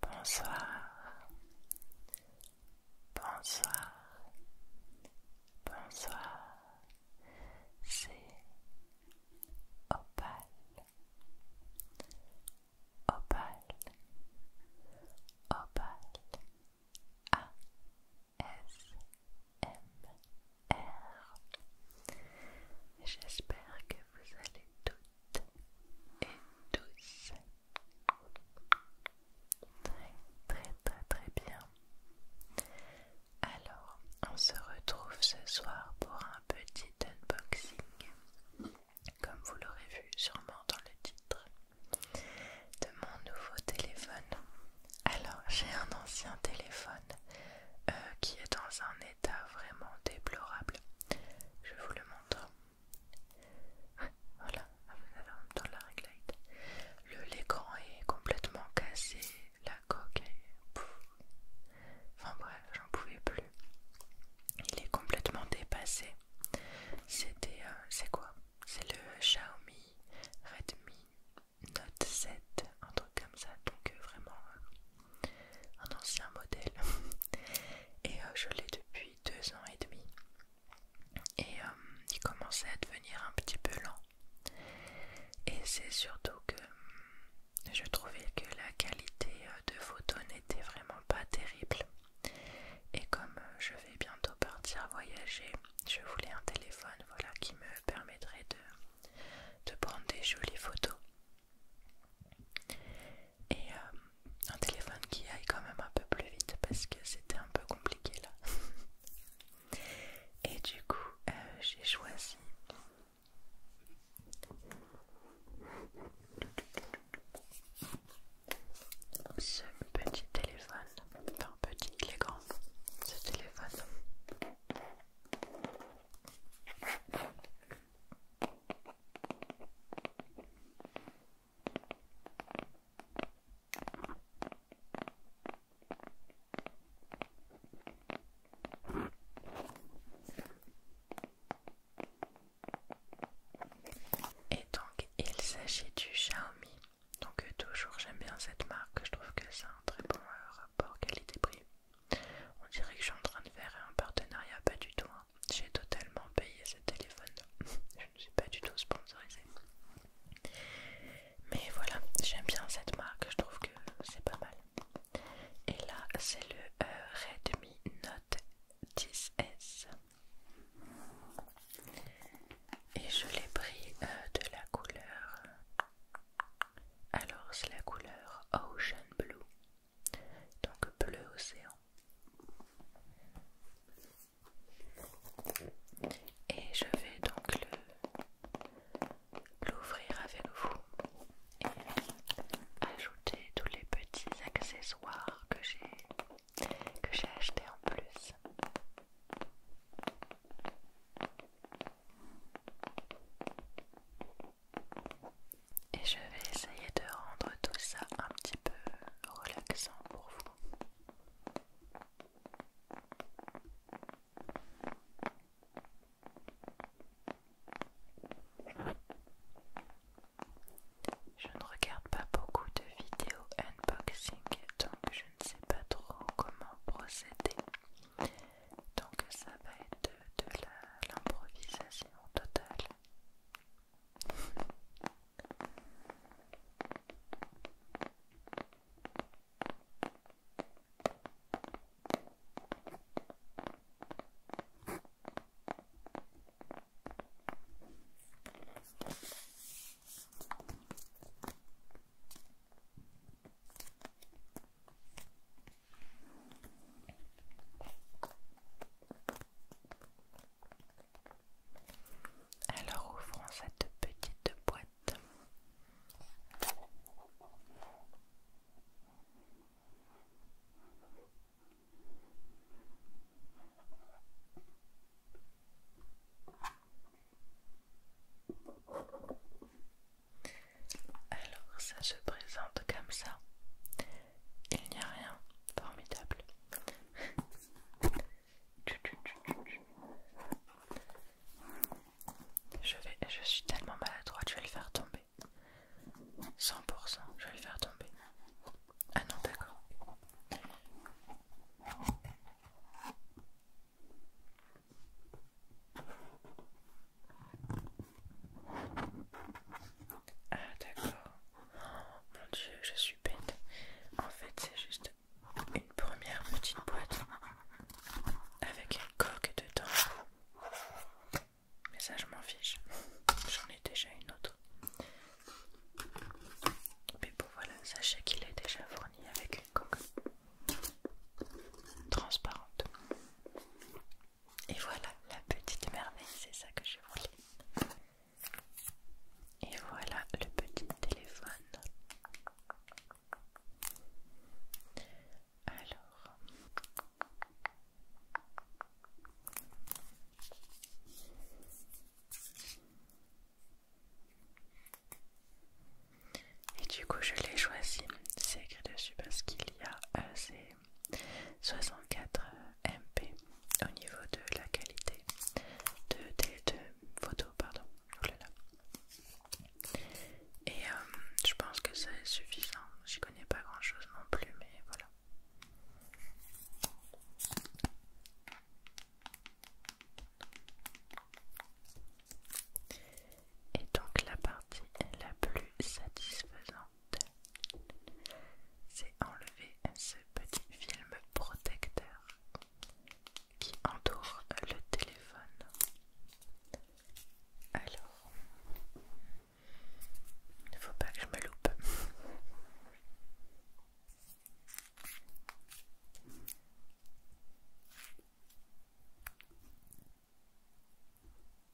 Bonsoir. Bonsoir. Bonsoir. C'est Opal. Opal. Opal. A S M R. J'espère que vous allez et douce. Très très très très bien. Alors, on se retrouve ce soir pour un petit unboxing, comme vous l'aurez vu sûrement dans le titre, de mon nouveau téléphone. Alors, j'ai un ancien téléphone euh, qui est dans un état vraiment déplorable. Je vous le montre. Voilà, vous avez en la Le l'écran est complètement cassé, la coque est. Enfin bref, j'en pouvais plus. Il est complètement dépassé. C'était. Euh, c'est quoi C'est le Xiaomi Redmi Note 7, un truc comme ça. Donc euh, vraiment, euh, un ancien modèle et euh, je l'ai depuis deux ans et demi et euh, il commençait à devenir un petit peu lent et c'est surtout que euh, je trouvais que la qualité de photos n'était vraiment pas terrible et comme je vais bientôt partir voyager je voulais un téléphone voilà qui me permettrait de prendre des jolies photos et euh, un téléphone qui aille quand même un peu plus vite parce que c'était un peu compliqué là. et du coup, euh, j'ai choisi ce petit téléphone, enfin petit, il est ce téléphone. Et donc il s'agit du Xiaomi. Donc euh, toujours j'aime bien cette marque, je trouve que c'est un très bon euh, rapport qualité-prix. On dirait que je suis en train de faire un partenariat, pas du tout. Hein. J'ai totalement payé ce téléphone. je ne suis pas du tout sponsorisée. Mais voilà, j'aime bien cette marque, je trouve que c'est pas mal. Et là, c'est le euh, Redmi Note 10S. Et je l'ai pris euh, de la couleur. Alors, c'est la couleur Ocean Blue donc bleu océan. Et je vais donc l'ouvrir avec vous et ajouter tous les petits accessoires que j'ai que j'ai acheté en plus. Et je vais essayer de rendre tout ça un petit peu relaxant pour vous. Je ne regarde pas beaucoup de vidéos unboxing, donc je ne sais pas trop comment procéder. Donc ça va être de, l'improvisation totale. Alors ouvrons cette petite boîte. Alors ça se présente comme ça. Il n'y a rien. Formidable. Je, vais, je suis tellement maladroit. je vais le faire tomber. 100%, je vais le faire tomber. Ah non, d'accord. Ah d'accord. Oh, mon dieu, je suis bête. En fait, c'est juste une première petite boîte avec une coque dedans. Mais ça, je m'en fiche. J'en ai déjà une autre. Mais bon, voilà, sachez qu'il est déjà fourni avec une coque transparente. Et voilà, la petite merveille, c'est ça que je voulais. Et voilà le petit téléphone. Alors, et du coup, je l'ai choisi. C'est écrit dessus parce qu'il y a assez... Euh, 64 euh, MP au niveau de la qualité de, photos, photo pardon oh et euh, je pense que c'est suffisant j'y connais pas grand chose non plus mais voilà et donc la partie la plus satisfaisante c'est enlever ce petit film protecteur qui entoure le téléphone. Alors, il ne faut pas que je me loupe.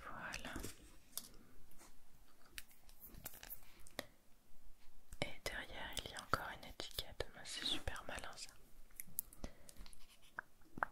Voilà. Et derrière, il y a encore une étiquette. C'est super malin ça.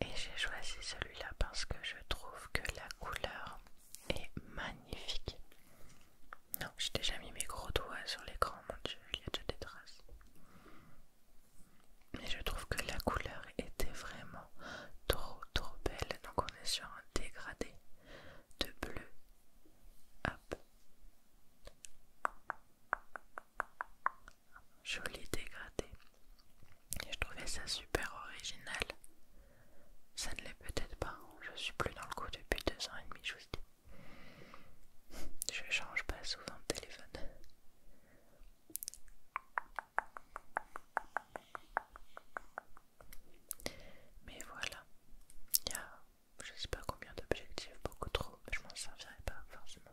Et j'ai choisi celui-là parce que je trouve que la couleur est magnifique. Non, j'ai déjà mis mes gros doigts sur l'écran, mon dieu, il y a déjà des traces. Mais je trouve que la couleur était vraiment trop trop belle. Donc on est sur un dégradé de bleu. Hop joli dégradé. Et je trouvais ça super original. Ça ne l'est peut-être pas, je suis plus dans le coup depuis deux ans et demi, je vous dis. Je change pas souvent de téléphone. Mais voilà, il y a je sais pas combien d'objectifs, beaucoup trop, je m'en servirai pas forcément.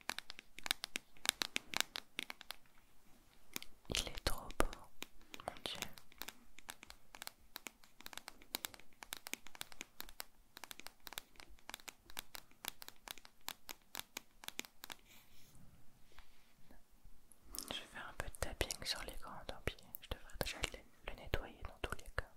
Il est trop beau, mon Dieu. Je faire un peu de tapping sur les grands tant je devrais déjà le nettoyer dans tous les cas.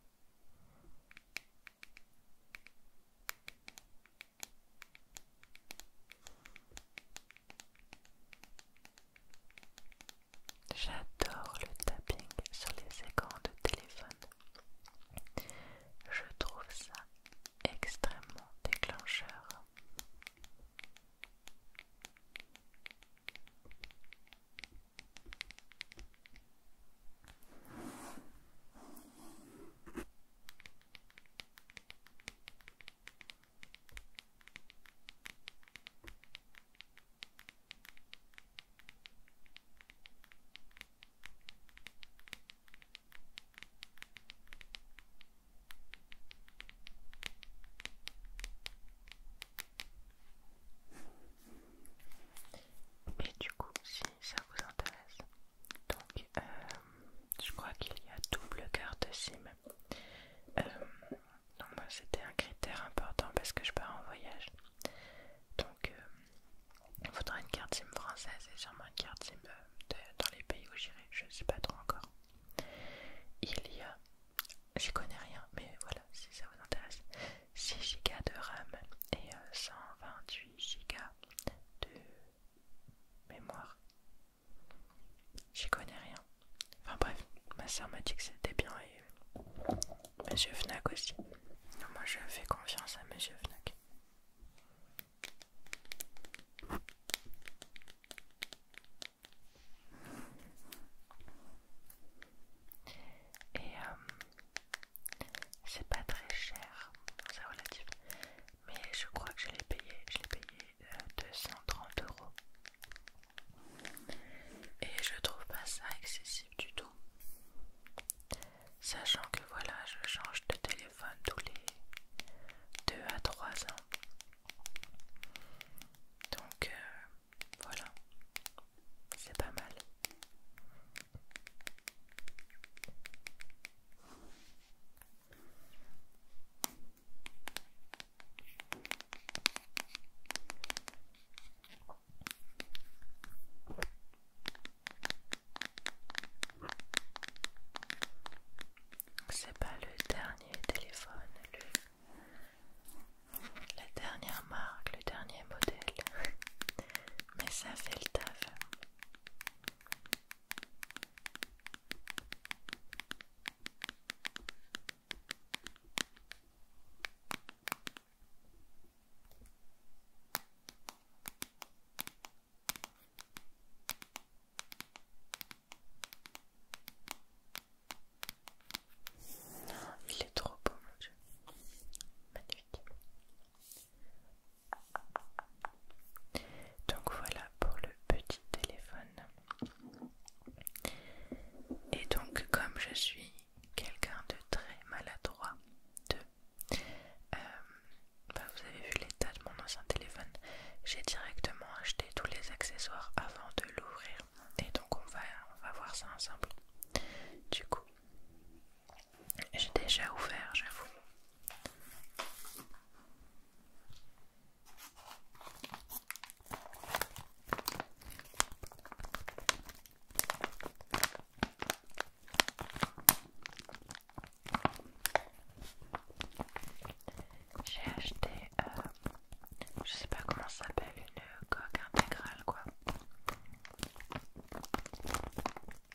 J'adore le tapping sur les écrans de téléphone. Je trouve ça extrêmement déclencheur. Et du coup, si ça vous intéresse, donc, euh, je crois qu'il y a double carte SIM. Euh, donc, moi, c'était un critère important parce que je pars en voyage. Donc, il euh, faudra une carte SIM française et sûrement une carte SIM dans les pays où j'irai. Je ne sais pas trop encore. Il y a, j'y connais rien, mais voilà, si ça vous intéresse, 6 Go de RAM et 128 Go de mémoire. J'y connais rien. Enfin bref, ma sœur m'a dit que c'était bien et Monsieur Fnac aussi. moi je fais confiance à Monsieur Fnac. Et euh, c'est pas très cher, c'est relatif mais je crois que je l'ai payé, je l'ai payé 230 euh, euros. Et je trouve pas ça excessif du tout. Sachant que voilà, je change de téléphone tous les 2 à 3 ans. Donc euh, voilà, c'est pas mal. C'est pas le dernier téléphone, le... la dernière marque, le dernier modèle, mais ça fait le taf. Il est trop beau mon dieu. Magnifique. Donc voilà pour le petit téléphone. Et donc comme je suis quelqu'un de très maladroit, de, euh, bah, vous avez vu l'état de mon ancien téléphone, j'ai directement acheté tous les accessoires avant de l'ouvrir. Et donc on va, on va voir ça ensemble. Du coup, j'ai déjà ouvert, j'avoue. J'ai acheté, euh, je sais pas comment ça s'appelle, une coque intégrale quoi.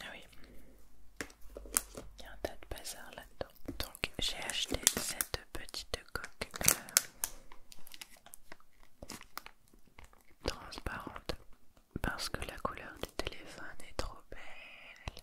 Ah oui, il y a un tas de bazar là-dedans. Donc j'ai acheté cette petite coque euh, transparente parce que la couleur du téléphone est trop belle.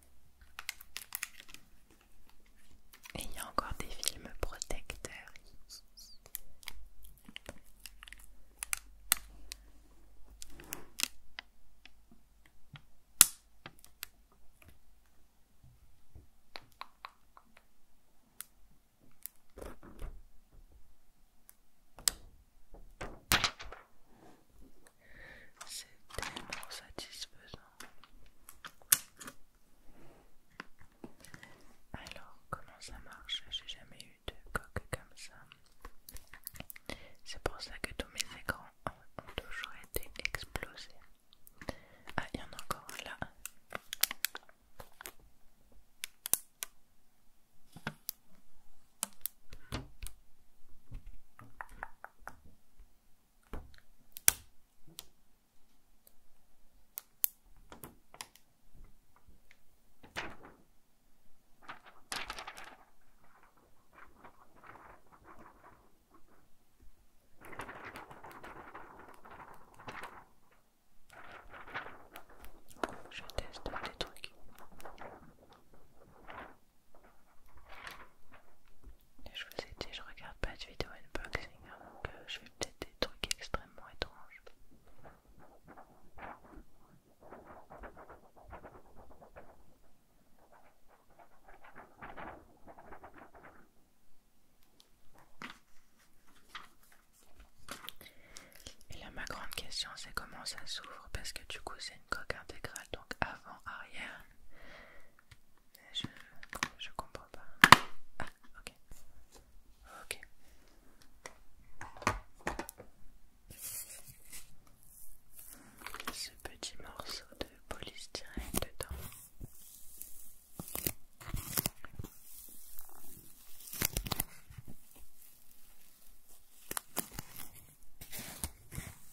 Et il y a encore des films protecteurs. C'est tellement satisfaisant. Alors, comment ça marche J'ai jamais eu de coque comme ça. C'est pour ça que tous mes écrans ont toujours été explosés. Ah, il y en a encore un là. Je teste des trucs je vous ai dit, je regarde pas de vidéo unboxing, hein, donc euh, je fais peut-être des trucs extrêmement étranges. Et là ma grande question c'est comment ça s'ouvre parce que du coup c'est une coque intégrale donc avant, arrière je, je comprends pas. Ah, ok. Ok. Ce petit morceau de polystyrène dedans.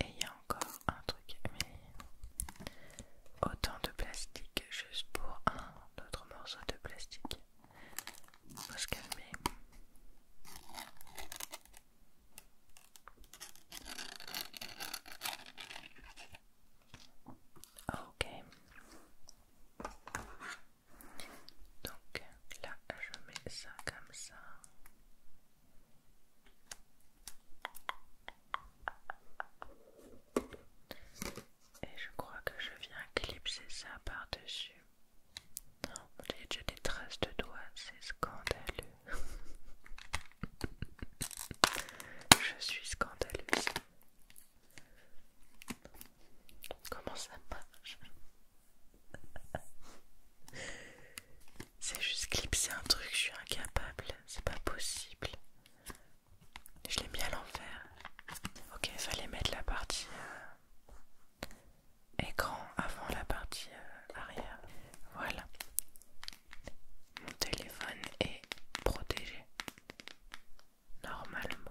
Et il y a encore un truc, mais autant de plastique juste pour un autre morceau de plastique. Faut se Ok. Donc là, je mets ça comme ça. Et je crois que je viens clipser ça par-dessus. Non, a déjà des traces de doigts, c'est scandaleux. je suis scandaleuse. Comment ça marche c'est juste clipser un truc, je suis incapable, c'est pas possible. Je l'ai mis à l'envers. Ok, il fallait mettre la partie euh, écran avant la partie euh, arrière. Voilà. Mon téléphone est protégé. Normalement.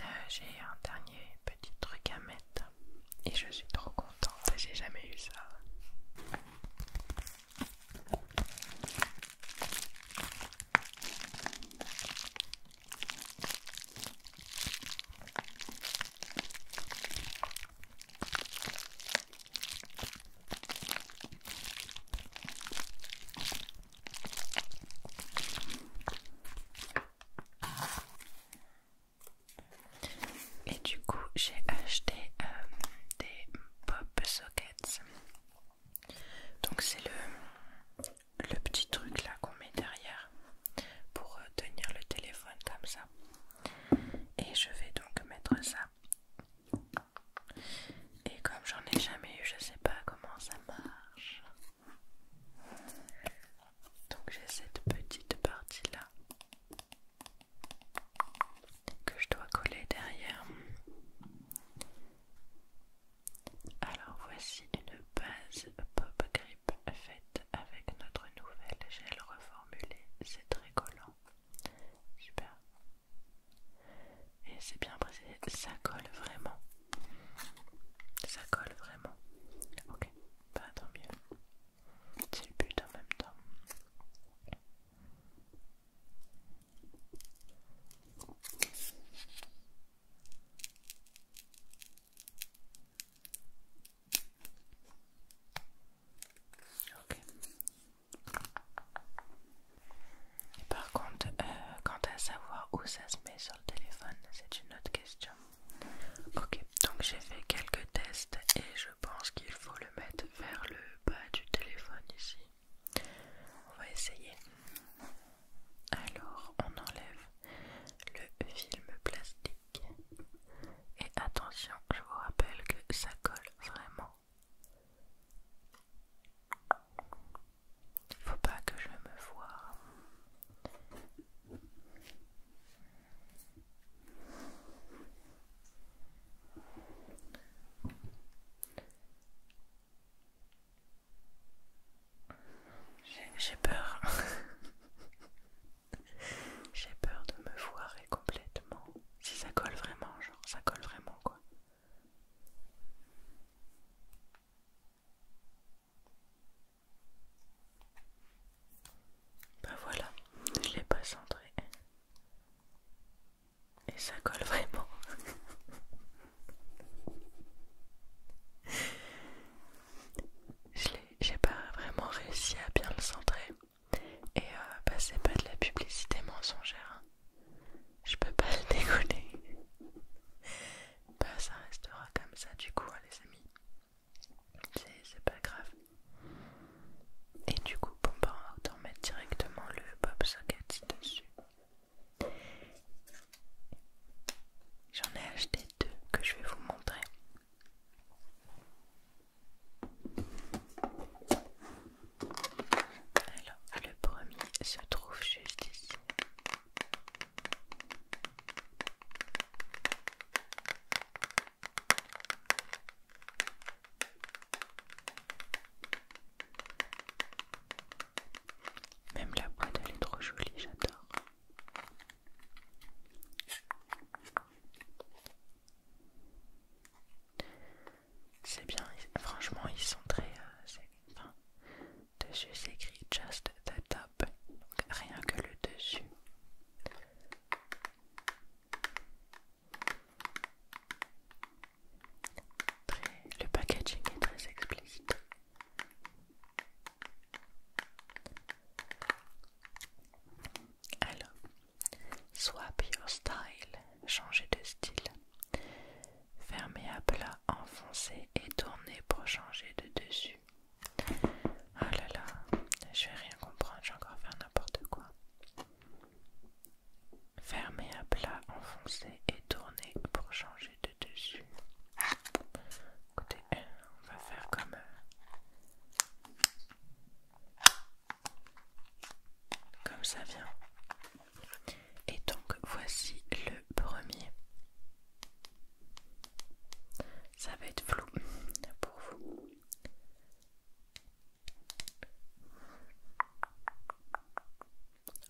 Euh, j'ai un dernier petit truc à mettre et je suis trop content. j'ai jamais eu ça. Et du coup, j'ai acheté euh, des pop sockets. Donc c'est le, petit truc là qu'on met derrière pour euh, tenir le téléphone comme ça. Et je vais donc mettre ça. Et comme j'en ai jamais eu, je sais pas comment ça marche. Donc j'ai cette petite partie là que je dois coller derrière. Alors voici une base pop grip faite avec notre nouvelle gel reformulé. C'est très collant. Super. Et c'est bien précisé, ça colle vraiment. Ça colle vraiment. Ok. Bah tant mieux. C'est le but en même temps. Ok. par contre, euh, quant à savoir où ça se met sur le téléphone, c'est une autre question. Ok, donc j'ai fait quelques tests et je pense qu'il faut le mettre vers le bas du téléphone ici. On va essayer. Alors, on enlève le film plastique. Et attention, je vous rappelle que ça colle vraiment. Faut pas que je me voie. J'ai peur. J'ai peur de me foirer complètement. Si ça colle vraiment, genre ça colle vraiment quoi. Bah voilà, je l'ai pas centré. Et ça colle vraiment. J'ai pas vraiment réussi à bien le centrer. Et euh, bah, c'est pas de la publicité mensongère. Hein. Je peux pas le dégoûter. bah, ça restera comme ça du coup, hein, les amis c'est pas grave. Et du coup, bah, on peut en mettre directement le Bob socket dessus. J'en ai acheté deux que je vais vous montrer. Alors, le premier se trouve juste ici. Même la boîte elle est trop jolie, j'adore. C'est bien, franchement ils sont très... Euh, Dessus s'écrit Just the Top, donc rien que le dessus. le packaging est très explicite. Alors, swap your style, changer de style. Fermez à plat, enfoncer et tourner pour changer de dessus. Ah là là, je vais rien comprendre, je vais encore faire n'importe quoi. Fermer à plat, enfoncer et tourner pour changer de dessus. Écoutez, on va faire comme... Euh, comme ça vient. Et donc voici le premier. Ça va être flou pour vous.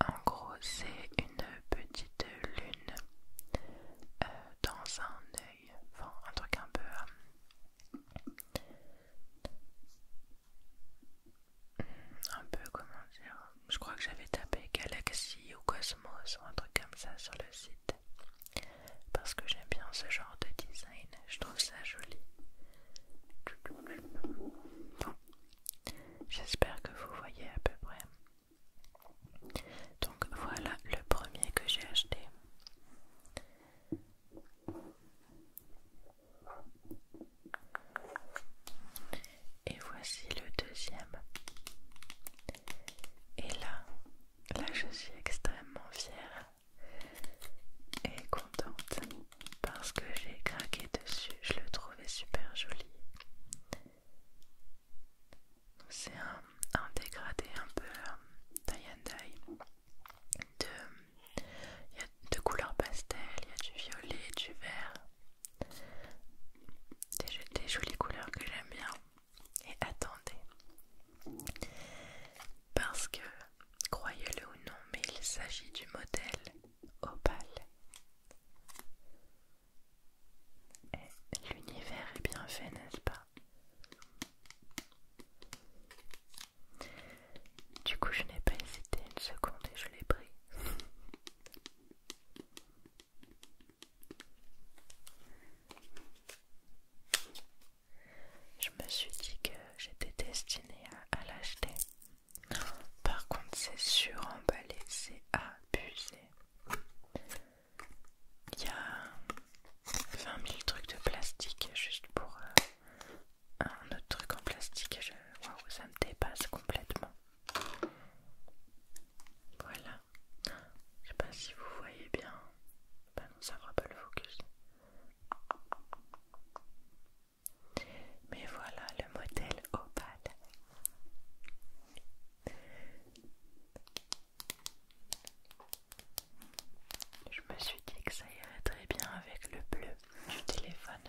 En gros, c'est une petite lune euh, dans un œil, enfin un truc un peu... Euh, un peu comment dire... Je crois que j'avais tapé galaxie ou quoi ça ou un truc comme ça sur le site parce que j'aime bien ce genre de design, je trouve ça joli. j'espère que vous voyez à peu près. Donc voilà le premier que j'ai acheté. Et voici le deuxième. Et là, là je suis extrêmement fière et contente parce que j'ai craqué dessus, je le trouvais super joli. C'est un, dégradé un peu euh, tie-and-dye de, y a deux couleurs pastel, il y a du violet, du vert, des jolies couleurs que j'aime bien et attendez. Parce que, croyez-le ou non, mais il s'agit du modèle opal. Et l'univers est bien fait, n'est-ce pas Du coup, je n'ai pas hésité une seconde et je l'ai pris. Je me suis dit que j'étais destinée à, l'acheter. Par contre, c'est suremballé, c'est abusé. Il y a 20 000 trucs de plastique juste pour euh, un autre truc en plastique. Waouh, ça me dépasse complètement. Voilà. Je sais pas si vous voyez bien. Bah ça fera pas le focus. Mais voilà le modèle opale. Je me suis dit que ça irait très bien avec le bleu du téléphone.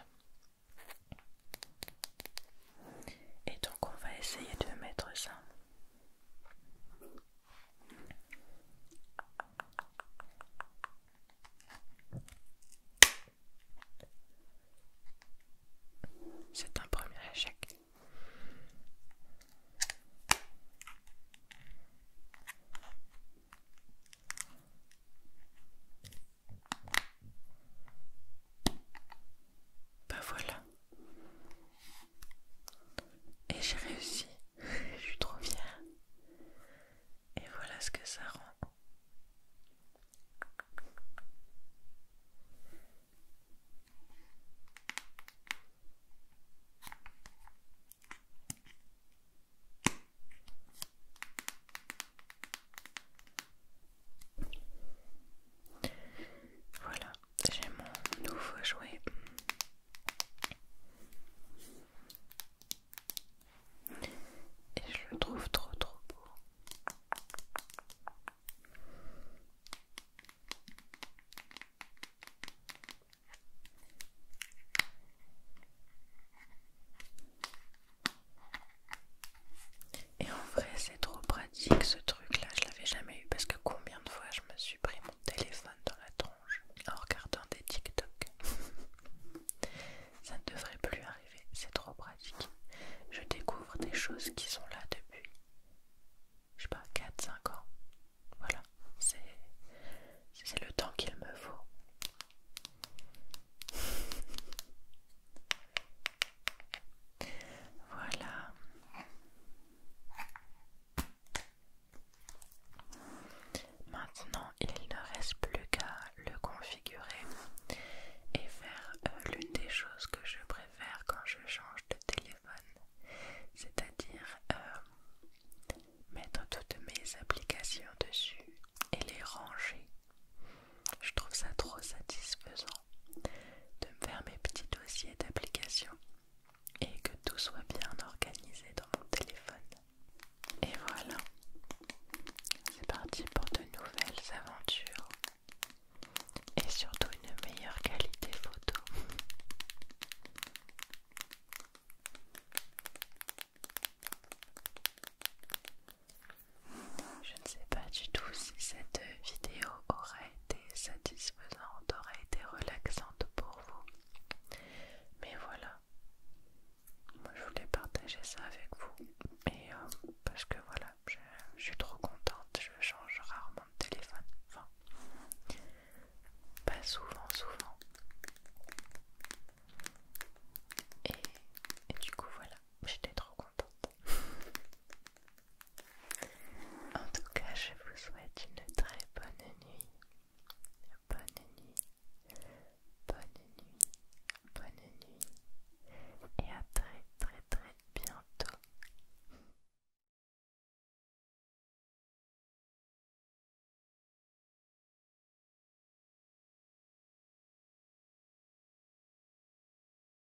Et donc on va essayer de mettre ça c'est un premier échec. Bah voilà. Et j'ai réussi. Je suis trop fière. Et voilà ce que ça rend. Voilà j'ai mon nouveau jouet. Et je le trouve trop trop beau. Et en vrai, c'est trop pratique ce truc-là. Je l'avais jamais eu parce que combien de fois je me suis pris mon téléphone dans la tronche en regardant des TikTok. Ça ne devrait plus arriver. C'est trop pratique. Je découvre des choses qui sont là depuis, je sais pas, 4-5 ans. Voilà. C'est le temps qu'il me faut. Voilà. Maintenant, il ne reste plus qu'à le configurer et faire euh, l'une des choses que je préfère quand je change de téléphone, c'est-à-dire euh, mettre toutes mes applications dessus et les ranger. Je trouve ça trop satisfaisant de me faire mes petits dossiers d'applications et que tout soit bien organisé dans mon téléphone. Et voilà, c'est parti pour de nouvelles aventures et surtout une meilleure qualité photo. Je ne sais pas du tout si cette vidéo aurait été satisfaisante, aurait été relaxante pour vous. Mais voilà, moi je voulais partager ça avec vous. Et euh, parce que voilà, je, suis trop contente, je change rarement de téléphone. Enfin, pas souvent, souvent. et du coup, voilà, j'étais trop contente. En tout cas, je vous souhaite une très bonne nuit. Bonne nuit. Bonne nuit. Bonne nuit. Et à très très très bientôt.